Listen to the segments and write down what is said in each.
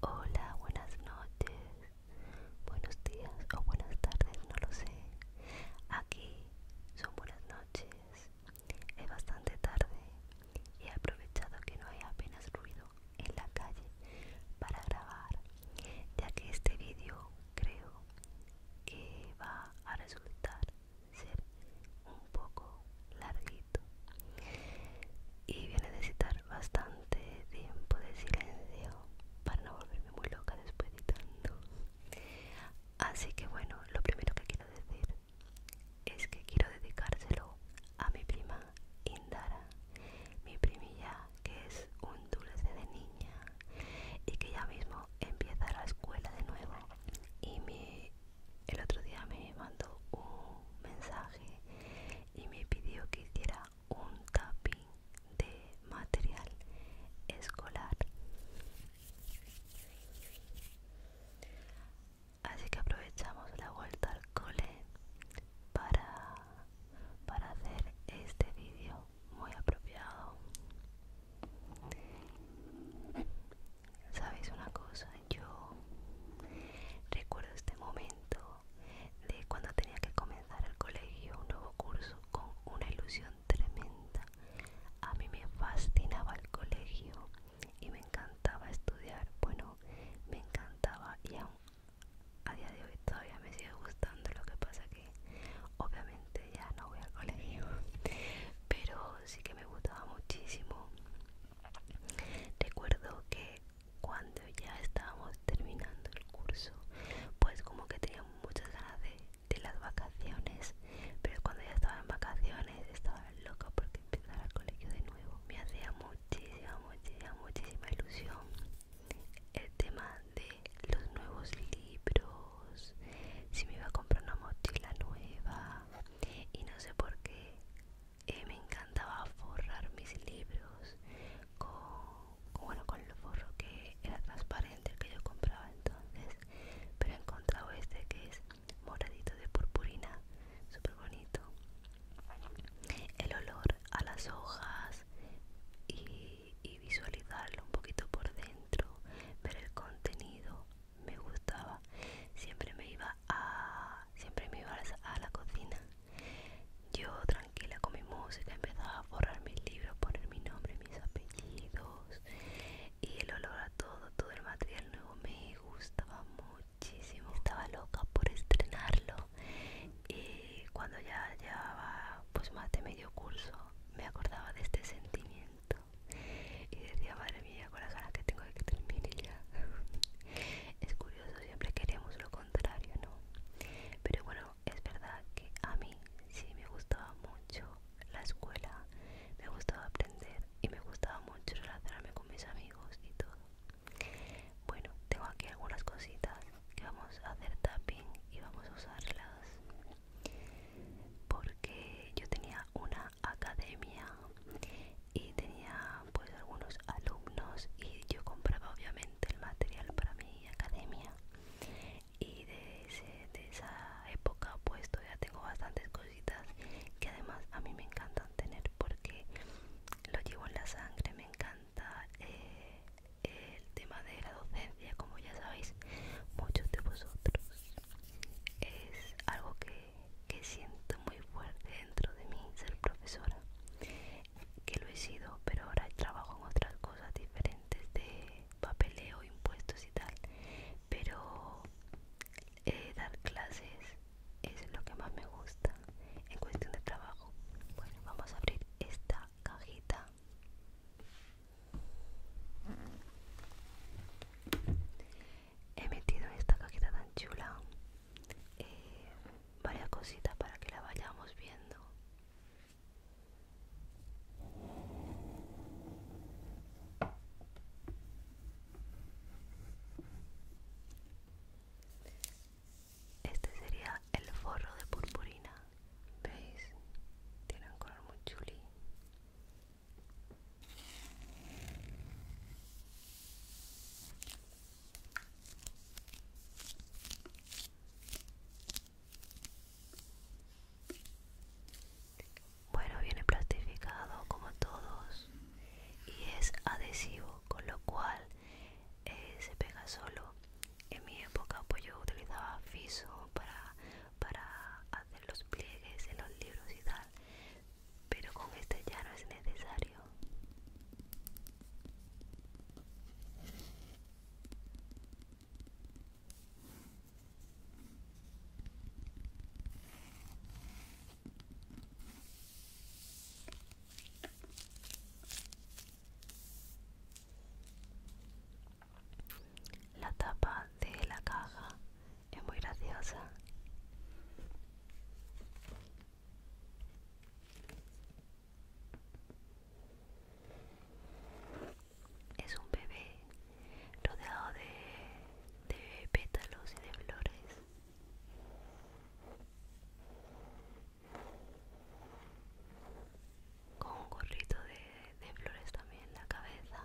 Hola, buenas noches, buenos días o buenas tardes, no lo sé. Aquí son buenas noches es bastante tarde y he aprovechado que no hay apenas ruido en la calle para grabar, ya que este vídeo creo que va a resultar ser un poco larguito y voy a necesitar bastante tiempo de silencio para no volverme muy loca después editando así que bueno lo primero que quiero decir es que quiero dedicárselo a mi prima Indara, mi primilla que es un dulce de niña y que ya mismo empieza la escuela de nuevo. Y el otro día me mandó un mensaje y me pidió que hiciera un tapping de material escolar Así que aprovechamos la vuelta al cole para, para hacer este vídeo muy apropiado. ¿Sabéis una cosa? Yo recuerdo este momento de cuando tenía que comenzar el colegio, un nuevo curso, con una ilusión tremenda. A mí me fascinaba el colegio y me encantaba estudiar. Bueno, me encantaba y aún a día de hoy todavía me sigue gustando. Lo que pasa que obviamente ya no voy al colegio, pero sí que me gustaba muchísimo. Recuerdo que cuando ya estábamos terminando el curso, pues como que tenía muchas ganas de, de las vacaciones, pero cuando ya estaba en vacaciones estaba loca porque empezar al colegio de nuevo. Me hacía muchísima, muchísima, ilusión el tema de los nuevos libros, si me iba a comprar una mochila nueva y no sé por qué eh, me encantaba forrar mis libros con, bueno, con el forro que era transparente que yo compraba entonces, pero he encontrado este que es moradito de purpurina, súper bonito. El olor a las hojas y, visualizarlo un poquito por dentro, ver el contenido me gustaba. Siempre me iba a, siempre me iba a la, cocina. Yo tranquila con mi música empezaba a borrar mis libros, poner mi nombre, mis apellidos y el olor a todo, todo el material nuevo me gustaba muchísimo. Estaba loca por estrenarlo y cuando ya llevaba pues más de medio curso me acordaba de este sentimiento y decía, madre mía, con las ganas que tengo de que terminar ya. es curioso, siempre queremos lo contrario, ¿no? Pero bueno, es verdad que a mí sí me gustaba mucho la escuela, me gustaba aprender y me gustaba mucho relacionarme con mis amigos y todo. Bueno, tengo aquí algunas cositas que vamos a hacer tapping y vamos a usarlas porque yo tenía una academia y tenía pues algunos alumnos y yo compraba obviamente el material para mi academia y de de esa época pues todavía tengo bastantes cositas que además a mí me encantan tener porque lo llevo en la sangre, me encanta eh, el tema de la docencia, como ya sabéis muchos de vosotros. Es algo que, que siento muy fuerte dentro de mí ser profesora, que lo he sido, pero ahora trabajo en otras cosas diferentes de papeleo, impuestos y tal. Pero eh, dar clases es lo que más me gusta en cuestión de trabajo. Bueno, vamos a abrir esta cajita. He metido en esta cajita tan chula eh, varias cositas para que la vayamos viendo. Este sería el forro de purpurina. ¿Veis? Tiene un color muy chuli. Bueno, viene plastificado como todos y es adhesivo, con lo cual eh, se pega solo. En mi época pues yo utilizaba fiso para, para hacer los pliegues en los libros y tal, pero con este ya no es necesario. La tapa de la caja es muy graciosa. Es un bebé rodeado de, pétalos y de flores. Con un gorrito de, de flores también en la cabeza.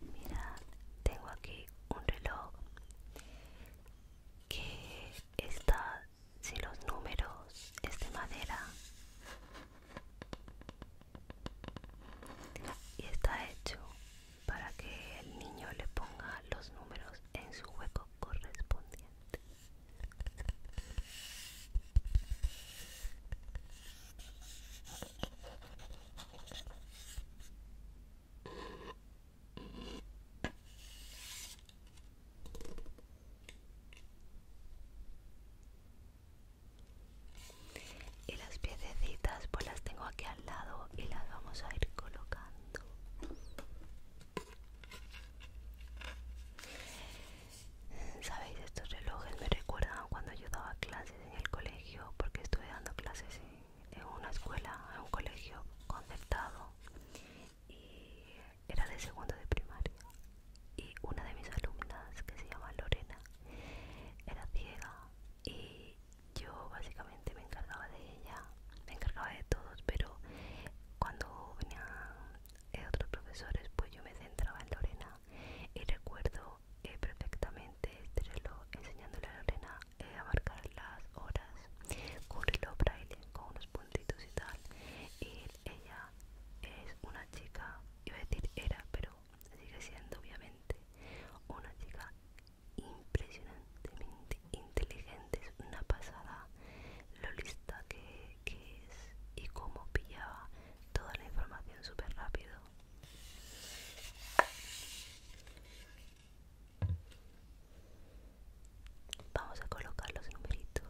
Mira, tengo aquí un reloj que está si los números, es de madera y está hecho para que el niño le ponga los números en su hueco correspondiente. Y las piececitas pues las tengo aquí lado y las vamos a ir colocando. Sabéis, estos relojes me recuerdan cuando yo daba clases en el colegio, porque estuve dando clases en, una escuela, en un colegio concertado, y era de segundo de primaria. Y una de mis alumnas, que se llama Lorena, era ciega y yo básicamente me encargaba de ella, me encargaba de todos, pero cuando venían eh, otros profesores, pues yo me centraba en Lorena y recuerdo perfectamente enseñándole a Lorena eh, a marcar las horas cubrirlo reloj con unos puntitos y tal. Y ella es una chica, iba a decir era, pero sigue siendo obviamente una chica impresionantemente inteligente, es una pasada lo lista que, es y cómo pillaba toda la información súper rápido. Vamos a colocar los numeritos.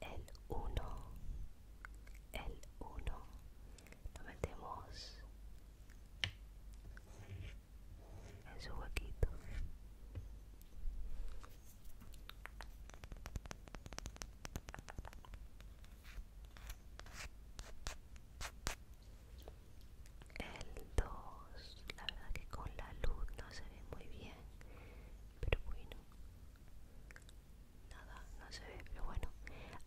El 1, el 1, lo metemos en su huequito el 2 la verdad que con la luz no se ve muy bien pero bueno nada no se ve pero bueno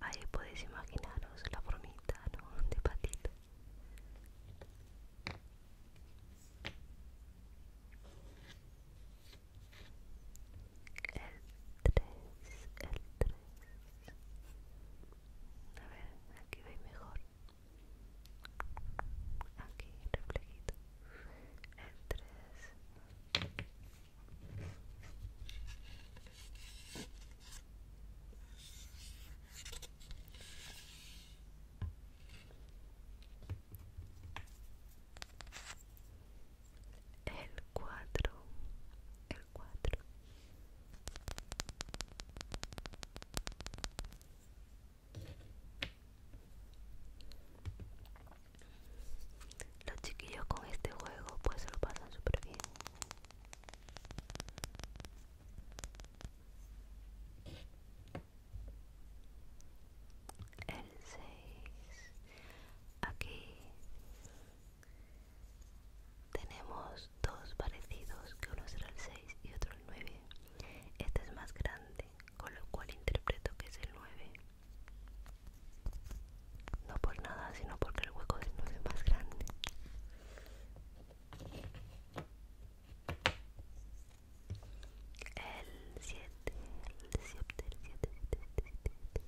ahí podéis imaginaros la bromita, ¿no? de patito el 3 el 3 a ver, aquí veis mejor aquí, reflejito el 3 el 4 el 4 los chiquillos con este juego pues se lo pasan súper bien. El 6 aquí tenemos dos parecidos, que uno será el 6 y otro el 9. Este es más grande, con lo cual interpreto que es el 9. No por nada, sino porque el hueco del 9 es más grande. El 7, el 7, el 7, el 7, el 7, el 7,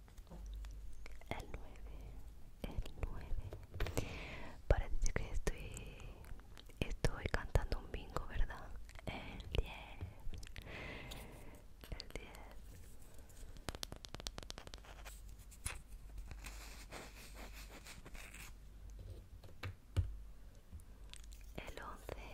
el 9 el 9 parece que estoy estoy cantando un bingo verdad el 10 el 10 el 11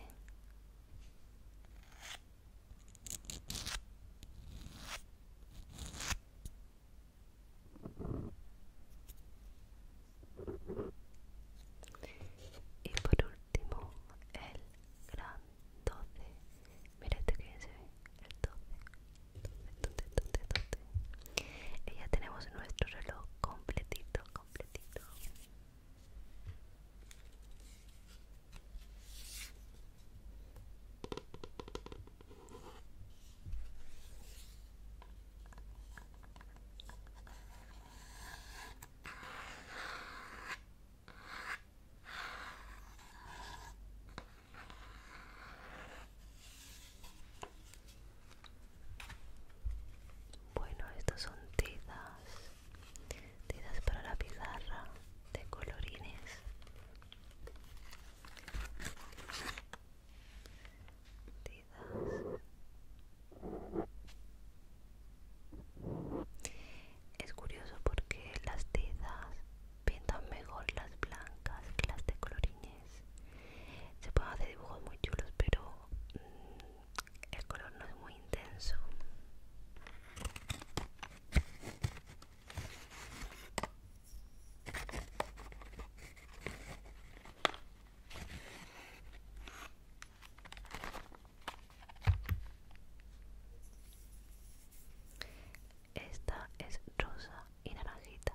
y por último, el gran 12. Mira este que se ve, el 12. 12, 12, 12. Y ya tenemos nuestro reloj completito, completito. Bueno, estas son tizas, tizas para la pizarra de colorines es curioso porque las tizas pintan mejor las blancas que las de colorines. Se pueden hacer dibujos muy chulos, pero mm, el color no es muy intenso. Esta es rosa y naranjita.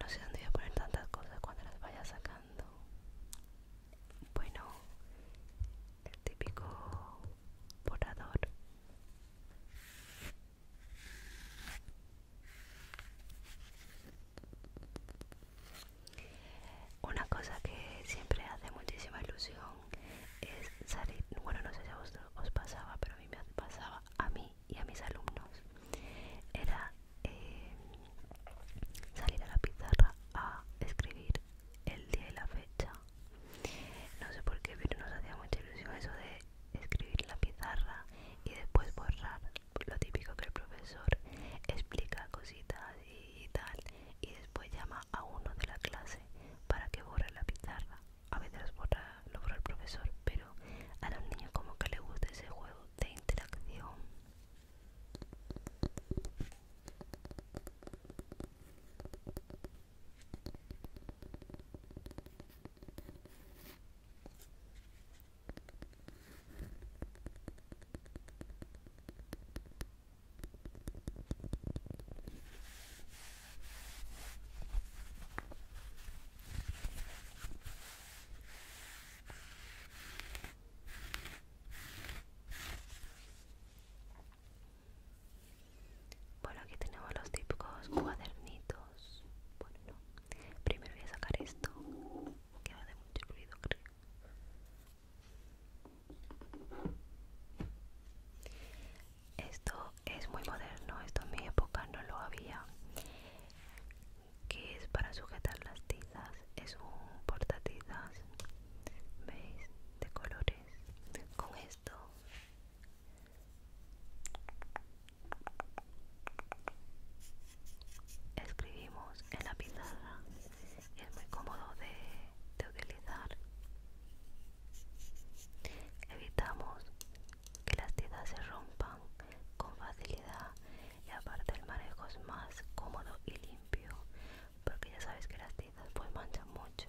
No sé dónde voy a poner tantas cosas cuando las vaya sacando. Bueno, el típico Volador Una cosa que siempre hace muchísima ilusión es salir, bueno no sé si a vosotros os pasaba, pero a mí me pasaba a mí y a mis alumnos, era eh, salir a la pizarra a escribir el día y la fecha. No sé por qué, pero nos hacía mucha ilusión eso de escribir la pizarra y después borrar. Lo típico que el profesor explica cositas y tal y después llama a uno de la clase para que borre la pizarra a veces borra, lo borra el profesor pero a los niños como que le gusta ese juego de interacción bueno, aquí tenemos los típicos cuadernitos. Bueno, Primero voy a sacar esto, que de mucho ruido, creo. Esto es muy moderno, esto en mi época no lo había. Que es para sujetar las tizas, es un portatizas, veis, de colores. Con esto escribimos en la pizarra es muy cómodo de, utilizar evitamos que las tizas se rompan con facilidad y aparte el manejo es más cómodo y limpio porque ya sabes que las tizas pueden manchan mucho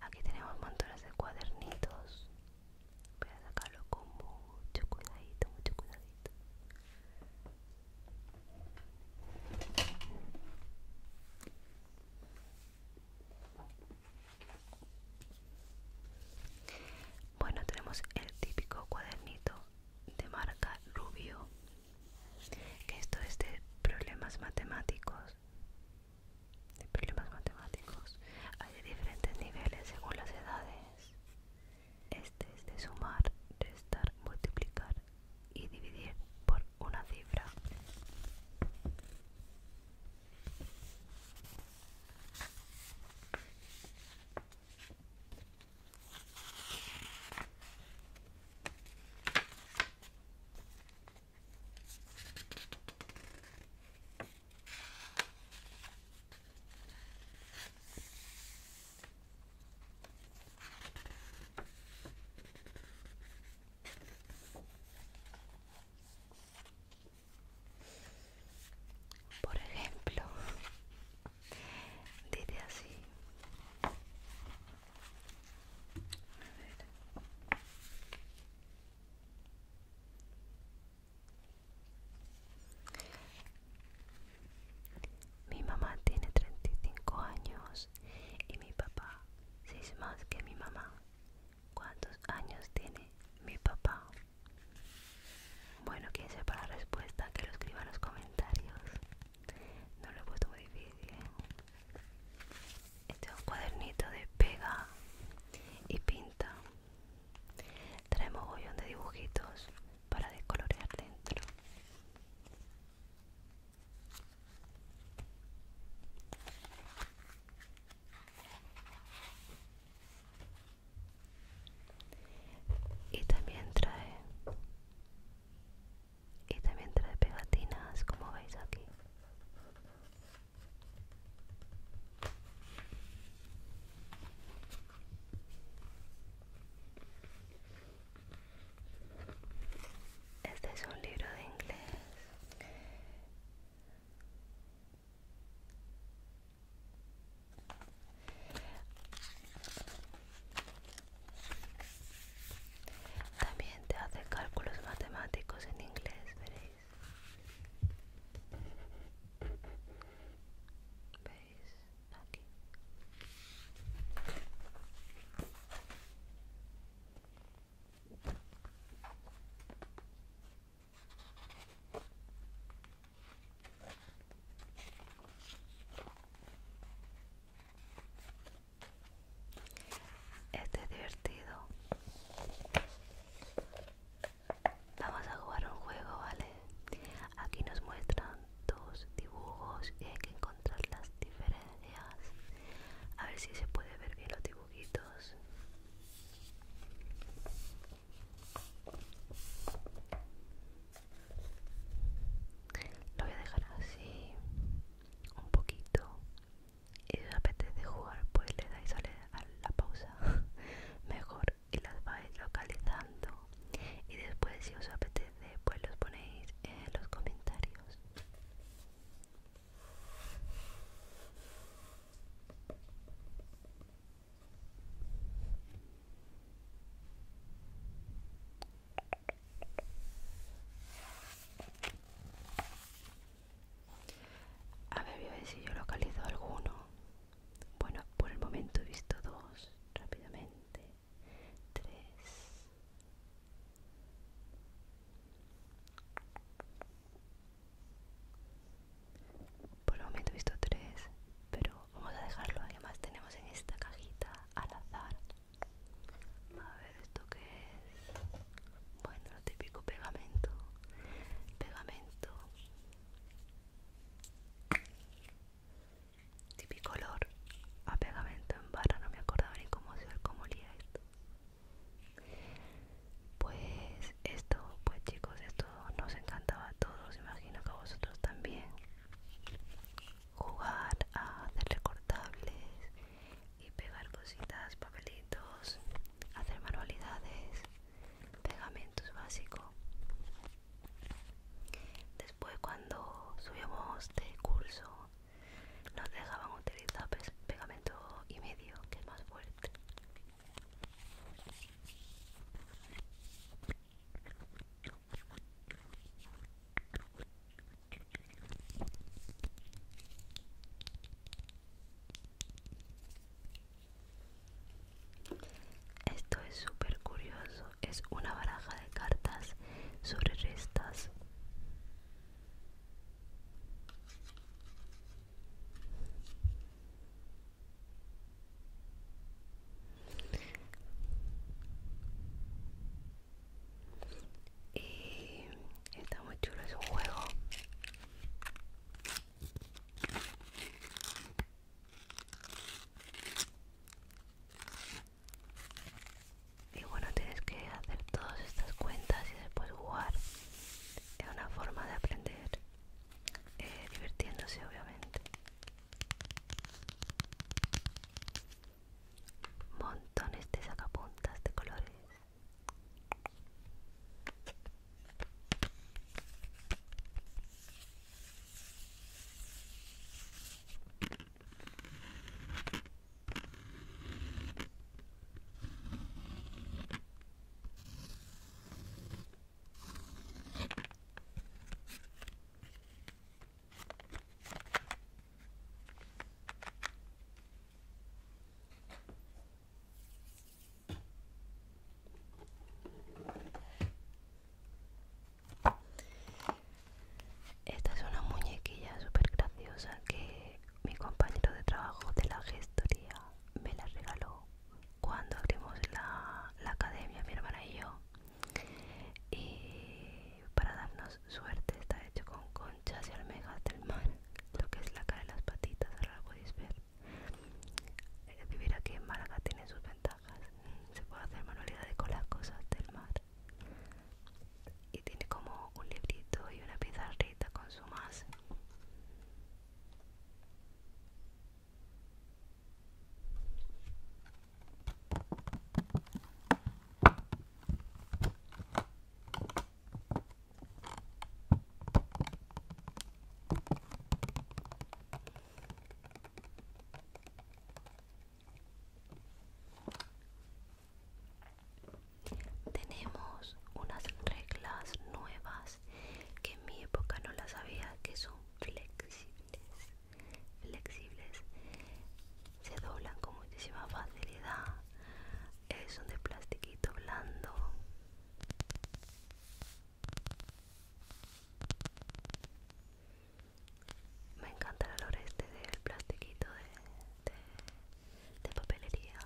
Aquí tenemos montones de cuadernitos. Voy a sacarlo con mucho cuidadito, mucho cuidadito. Bueno, tenemos el típico cuadernito de marca Rubio, esto es de problemas matemáticos de problemas matemáticos. Hay diferentes niveles según las edades. Este es de sumar, restar, multiplicar y dividir por una cifra. Por ejemplo, diré así. Mi mamá tiene 35 años y mi papá 6 más que mi mamá. ¿Cuántos años tiene mi papá? Bueno, quien sepa la respuesta que lo escriba en los comentarios. No lo he puesto muy difícil. ¿eh? Este es un cuadernito de pega y pinta. Trae bollón de dibujitos para descolorear dentro. Y también trae y también trae pegatinas como veis aquí este es un libro de inglés también te hace cálculos matemáticos en inglés, veréis. ¿Veis? Aquí. Este es divertido. Vamos a jugar un juego, ¿vale? Aquí nos muestran dos dibujos y hay que encontrar las diferencias. A ver si se puede ver bien los dibujitos. Lo voy a dejar así un poquito y os apetece jugar pues le dais a la pausa mejor y las vais localizando y después si os apetece pues los ponéis en los comentarios a ver, voy a ver si yo localizo alguno. Bueno, por el momento he visto dos rápidamente. Tres. Por el momento he visto tres, pero vamos a dejarlo. Además tenemos en esta cajita al azar a ver, ¿esto que es? Bueno, típico pegamento. Pegamento. Típico olor a pegamento en barra. No me acordaba ni cómo, cómo olía esto. Pues esto, pues chicos, esto nos encantaba a todos. Imagino que a vosotros también. Jugar a hacer recortables y pegar cositas, papelitos, hacer manualidades, pegamentos básico. Después cuando subimos de curso nos dejaban utilizar pegamento y medio, que es más fuerte. Esto es súper curioso, es una baraja de cartas sobre restas y está muy chulo, es un juego y bueno tienes que hacer todas estas cuentas y después jugar es una forma de aprender eh, divirtiéndose obviamente montones de sacapuntas de colores. Esta es una muñequilla súper graciosa que mi compañero de trabajo de la gestoría me la regaló cuando abrimos la, la academia, mi hermana y yo. Y para darnos suerte está hecho con conchas y almejas del mar, lo que es la cara de las patitas, ahora lo podéis ver. Eh, vivir aquí en Málaga tiene sus ventajas, mm, se puede hacer manualidades con las cosas del mar. Y tiene como un librito y una pizarrita con su más. Tenemos unas reglas nuevas que en mi época no las había, que son flexibles. Flexibles se doblan con muchísima facilidad Es un de plastiquito blando me encanta el olor este del plastiquito de, de, de papelería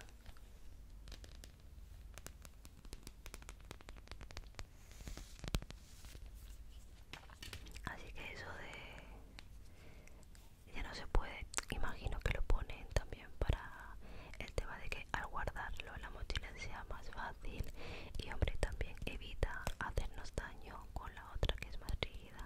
Así que eso de ya no se puede imagino que lo ponen también para el tema de que al guardarlo la mochila sea más fácil y hombre también evita hacernos daño con la otra que es más rígida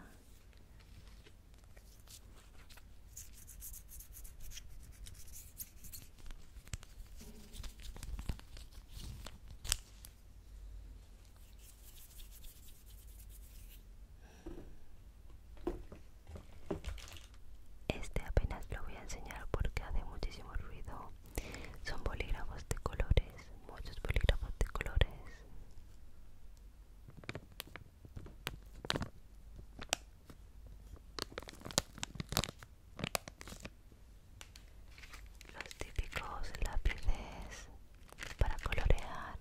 este apenas lo voy a enseñar porque hace muchísimo ruido. Son bolígrafos de colores, muchos bolígrafos de colores. Los típicos lápices para colorear.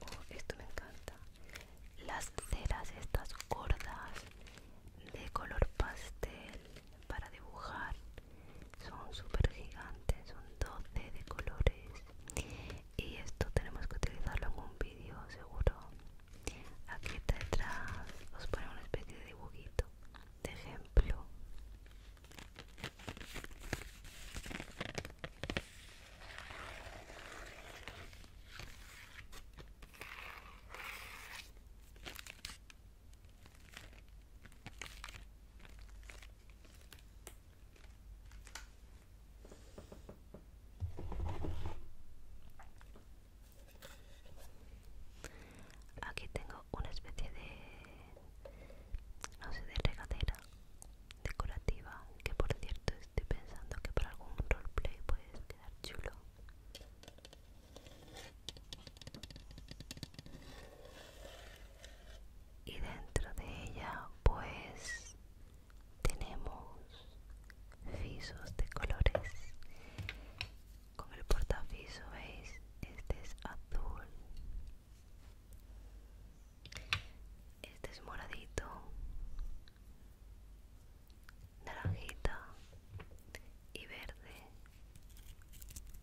Oh, esto me encanta. Las ceras estas gordas de color pastel para dibujar son súper gigantes son 12 de colores y esto tenemos que utilizarlo en un vídeo seguro aquí detrás os pone una especie de dibujito de ejemplo Aquí tengo una especie de, no sé, de regadera decorativa, que por cierto estoy pensando que para algún roleplay puede quedar chulo y dentro de ella pues tenemos fisos de colores con el portafiso veis este es azul este es moradito naranjita y verde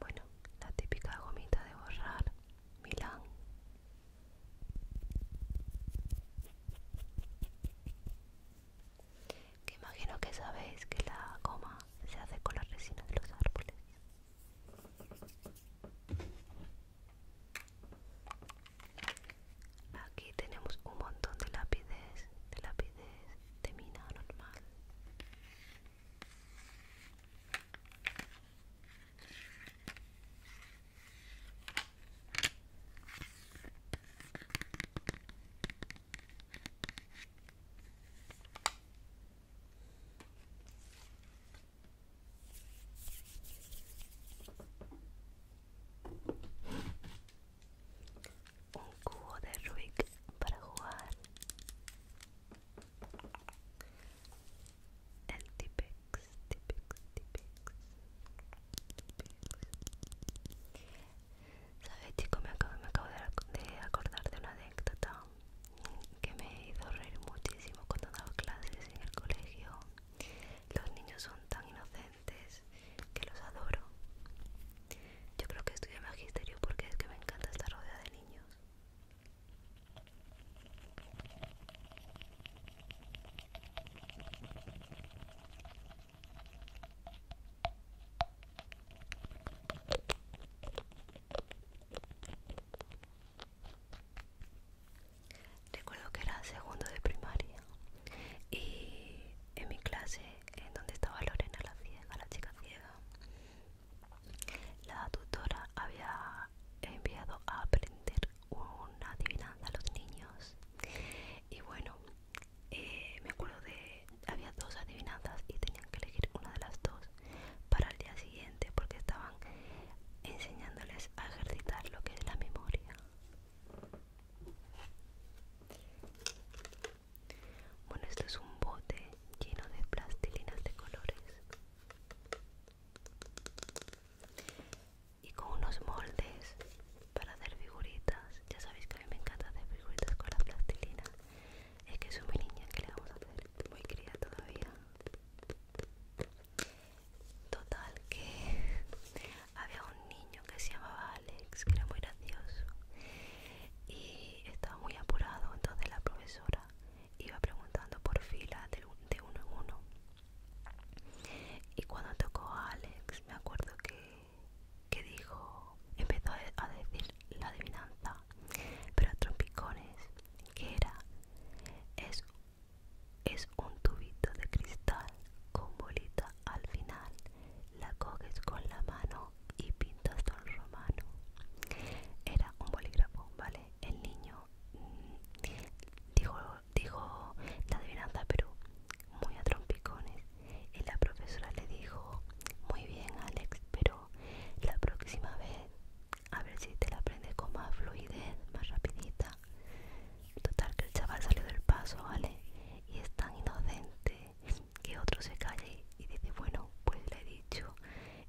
Bueno, la típica gomita de borrar, Milán. Que imagino que sabéis que la goma se hace con la resina de los árboles. Aquí tenemos un montón de lápides, de lápides de mina normal. Un cubo de Rubik para jugar. El Tipex, Tipex, Tipex. ¿Sabes, chicos? me acabo de acordar de una anécdota que me hizo reír muchísimo cuando daba clases en el colegio. Los niños son tan inocentes que los adoro. Yo creo que estudio magisterio porque es que me encanta estar rodeada de niños. Recuerdo que era segundo de primaria y en mi clase, en donde estaba Lorena la ciega, la chica ciega, la tutora había enviado a aprender una adivinanza a los niños y bueno, eh, me acuerdo de, había dos adivinanzas y tenían que elegir una de las dos para el día siguiente porque estaban enseñándoles a ejercitar lo que es la memoria bueno, esto es un bote lleno de plastilinas de colores y con unos moldes para hacer figuritas. Ya sabéis que a mí me encanta hacer figuritas con la plastilina. Es que soy una niña, que le vamos a hacer? Muy cría todavía. Total que había un niño que se llamaba Alex, que era muy gracioso y estaba muy apurado, entonces la profesora iba preguntando por fila de, uno en uno. Y cuando tocó a Alex, me acuerdo que, dijo, empezó a decir la adivinanza, pero a trompicones, que era, es es un tubito de cristal con bolita al final. La coges con la mano y pintas con romano. Era un bolígrafo, ¿vale? El niño mm, dijo, dijo la adivinanza, pero muy a trompicones. Y la profesora le dijo, muy bien Alex, pero la próxima vez a ver si te la aprendes con más fluidez, más rapidita. Total que el chaval salió del paso, ¿vale? Y es tan inocente que otro se calle y dice, bueno, pues le he dicho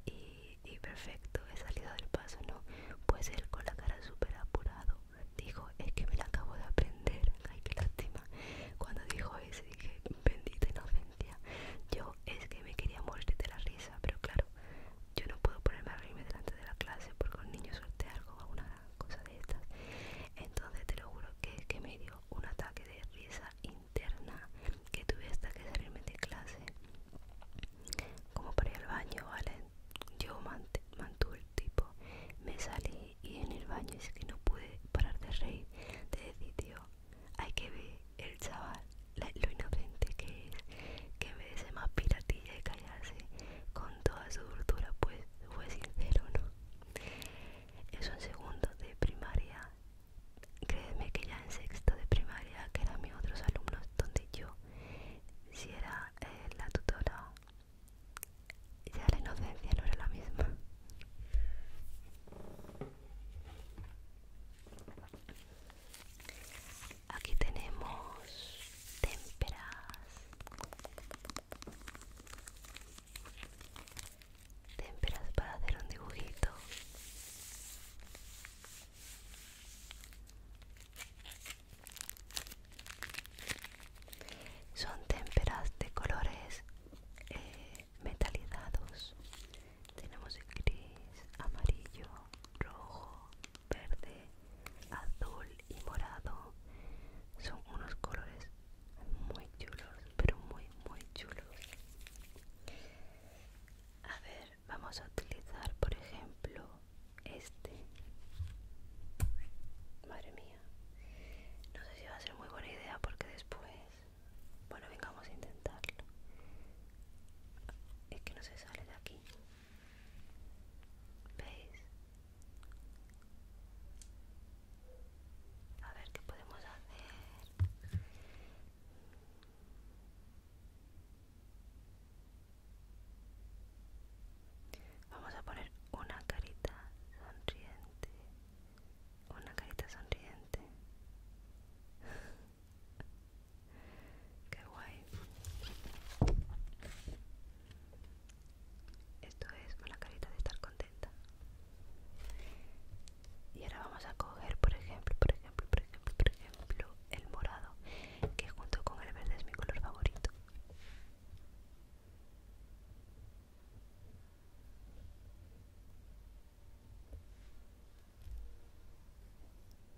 y, perfecto, he salido del paso, ¿no? Pues él con la cara súper apurado dijo, es que me la acabo de aprender, ay, qué lástima. Cuando dijo eso dije, bendita inocencia, yo es que me quería morir de la risa, pero claro, yo no puedo ponerme a reírme delante de la clase porque un niño suelte algo o alguna cosa de estas. Entonces te lo juro que, que me dio un ataque de risa interna que tuve hasta que salirme de clase. Como para ir al baño, ¿vale? Yo mantuve el tipo. Me salí y en el baño es que no pude parar de reír. De decir, tío, hay que ver el chaval, lo inocente que es, que en vez de ser más piratilla y con toda su dulzura, pues fue sincero, ¿no? Eso en segundo de primaria, créeme que ya en sexto de primaria, que eran mis otros alumnos, donde yo, si era eh, la tutora, ya la inocencia no era la misma. Aquí tenemos témperas, témperas para hacer un dibujito. Son témperas de colores eh, metalizados. Tenemos gris, amarillo, rojo, verde, azul y morado. Son unos colores muy chulos, pero muy, muy chulos. A ver, vamos a utilizar, por ejemplo, este. Madre mía. No sé si va a ser muy buena idea porque después... Bueno, venga, vamos a intentarlo. Es que no se sale de aquí. A ver qué podemos hacer. Vamos a poner una carita sonriente. Una carita sonriente. Qué guay. Esto es la carita de estar contenta. Y ahora vamos a coger, por ejemplo, por ejemplo, por ejemplo, por ejemplo, el morado, que junto con el verde es mi color favorito.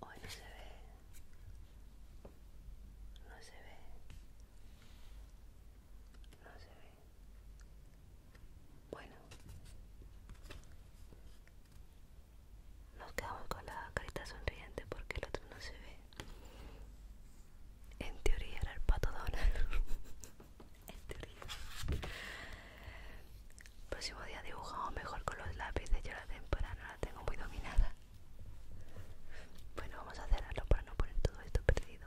Hoy no se ve. No se ve. No se ve. Bueno. Nos quedamos con la carita sonriente porque el otro no se ve. En teoría era el pato Este Próximo día dibujamos mejor con los lápices. Yo la temporada la tengo muy dominada. Bueno, vamos a cerrarlo para no poner todo esto perdido.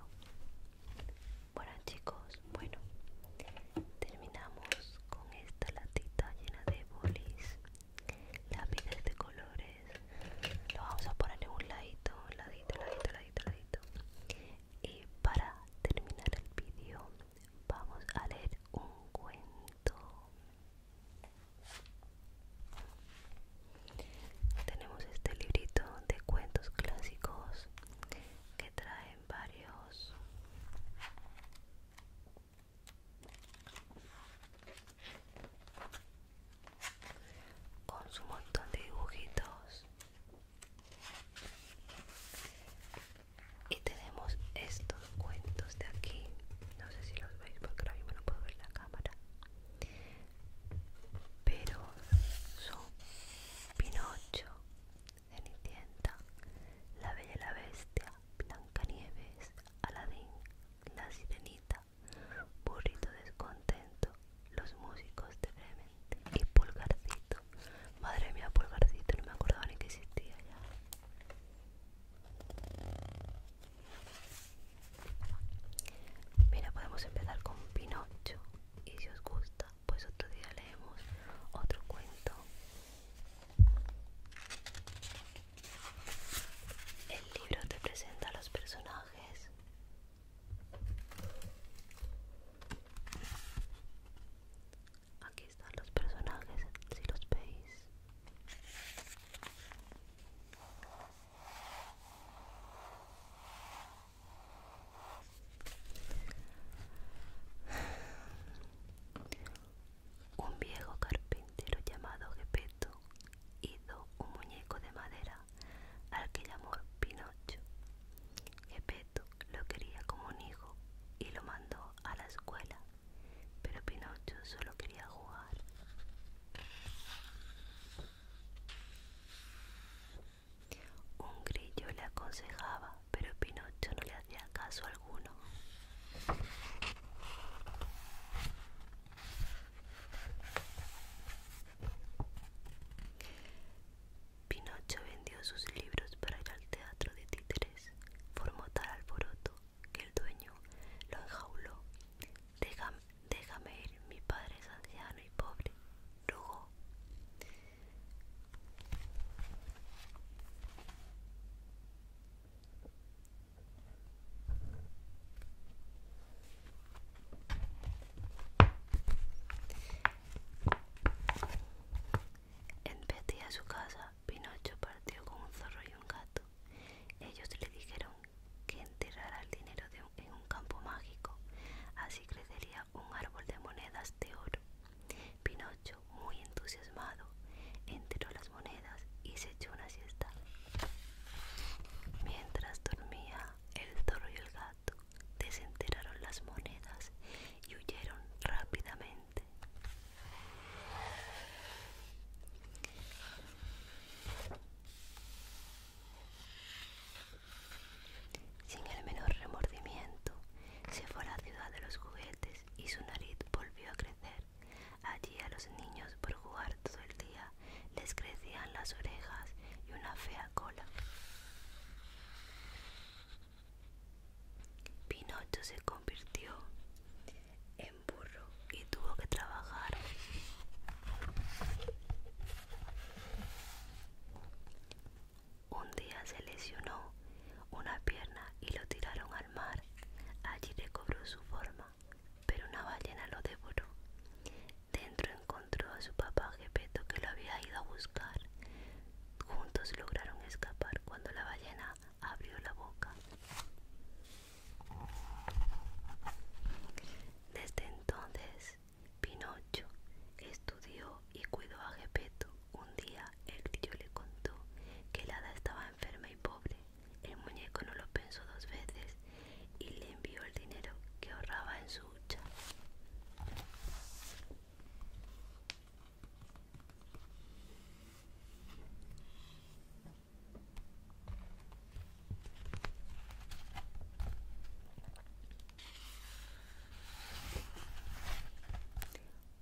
Bueno, chicos, bueno, terminamos con esta latita llena de bolis, lápices de colores. Lo vamos a poner en un ladito, ladito, ladito, ladito, ladito. Y para terminar el vídeo, vamos a leer un cuento. Tenemos este librito de cuentos clásicos que traen varios con su montón de dibujitos y tenemos estos cuentos de aquí no sé si los veis porque ahora mismo no puedo ver la cámara pero son Pinocho Cenicienta La Bella y la Bestia Blancanieves Aladín La Sirenita Burrito Descontento Los Músicos de Bremen y Pulgarcito. Madre mía, Pulgarcito, no me acordaba ni que existía ya. Mira, podemos empezar con Pinocho. Y si os gusta, pues otro día leemos otro cuento. El libro te presenta a los personajes. Aquí están los personajes, si los veis. Un viejo carpintero llamado Gepeto hizo un muñeco de madera al que llamó Pinocho peto lo quería como un hijo y lo mandó a la escuela, pero Pinocho solo quería jugar. Un grillo le aconsejaba, pero Pinocho no le hacía caso alguno. Pinocho vendió sus libros para ir al teatro de títeres. Formó tal alboroto que el dueño lo enjauló. Déjame, ir, mi padre es anciano y pobre, rugó. En vez a su casa, Pinocho partió con un zorro y un gato. Ellos le dijeron que enterrara el dinero en un campo mágico, así crecería un árbol de monedas de oro. Pinocho, muy entusiasmado, enterró las monedas y se echó una siesta. Mientras dormía, el zorro y el gato Desenterraron las monedas y huyeron rápidamente. Sin el menor remordimiento, se fue a la ciudad de los juguetes y su nariz volvió a crecer. Allí a los niños por jugar todo el día les crecían las orejas y una fea cola. Pinocho se convirtió en burro y tuvo que trabajar. Un día se lesionó una pierna y lo tiraron al mar. Allí recobró su forma, pero una ballena lo devoró. Dentro encontró a su papá Gepeto que lo había ido a buscar. Juntos lograron escapar cuando la ballena abrió la boca. Desde entonces, Pinocho estudió y cuidó a Gepeto. Un día el tío le contó que el hada estaba enferma y pobre. El muñeco no lo pensó dos veces y le envió el dinero que ahorraba en su hucha.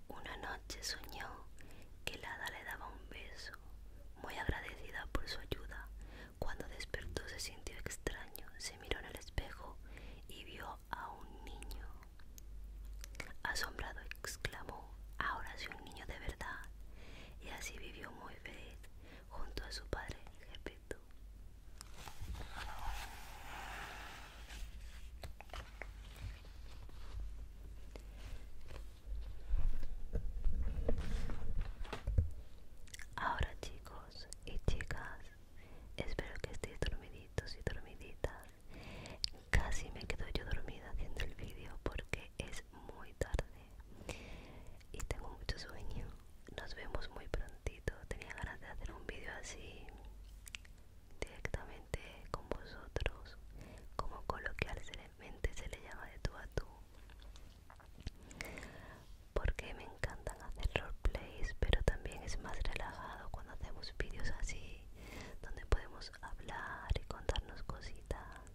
Una noche soñó que la hada le daba un beso, muy agradecida por su ayuda. Cuando despertó se sintió extraño, se miró en el espejo y vio a un niño. Asombrado exclamó, ahora soy un niño de verdad. Y así vivió muy feliz junto a su padre Gepeto. Ahora chicos y chicas, Espero que estéis dormiditos y dormiditas. Casi me quedo yo dormida haciendo el vídeo porque es muy tarde y tengo mucho sueño. Nos vemos muy prontito. Tenía ganas de hacer un vídeo así directamente con vosotros, como coloquialmente se le llama de tú a tú, porque me encantan hacer roleplays, pero también es más relajado cuando hacemos vídeos así, donde podemos hablar y contarnos cositas.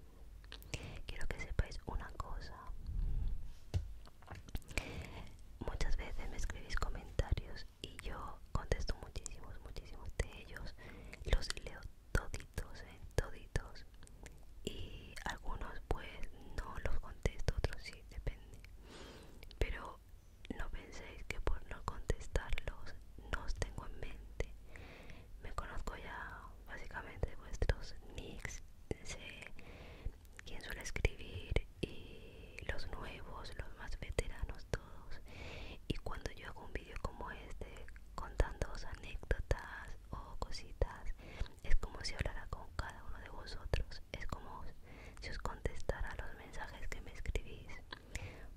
Quiero que sepáis una cosa. Muchas veces me escribís comentarios y yo contesto muchísimos, muchísimos de ellos. Los leo toditos, ¿eh? toditos. Y algunos pues no los contesto, otros sí, depende. Pero no penséis que por no contestarlos no os tengo en mente. Me conozco ya básicamente vuestros nicks, sé quién suele escribir y los nuevos, los más veteranos todos. Y cuando yo hago un vídeo como este contándoos anécdotas o cositas, es como si hablara con cada uno de vosotros. Es como si os contestara los mensajes que me escribís,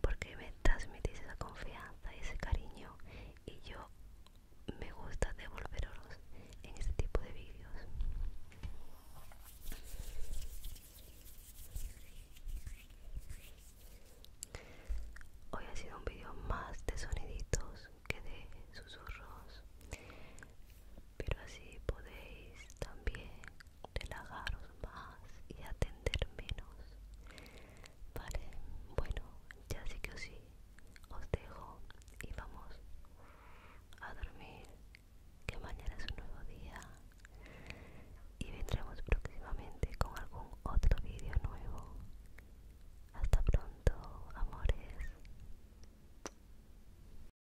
porque me transmitís esa confianza y ese cariño y yo me gusta devolveros en este tipo de vídeos. Hoy ha sido un vídeo más de soniditos que de susurros pero así podéis también relajaros más y atender menos vale bueno ya sí que os sí os dejo y vamos a dormir que mañana es un nuevo día y vendremos próximamente con algún otro vídeo nuevo hasta pronto amores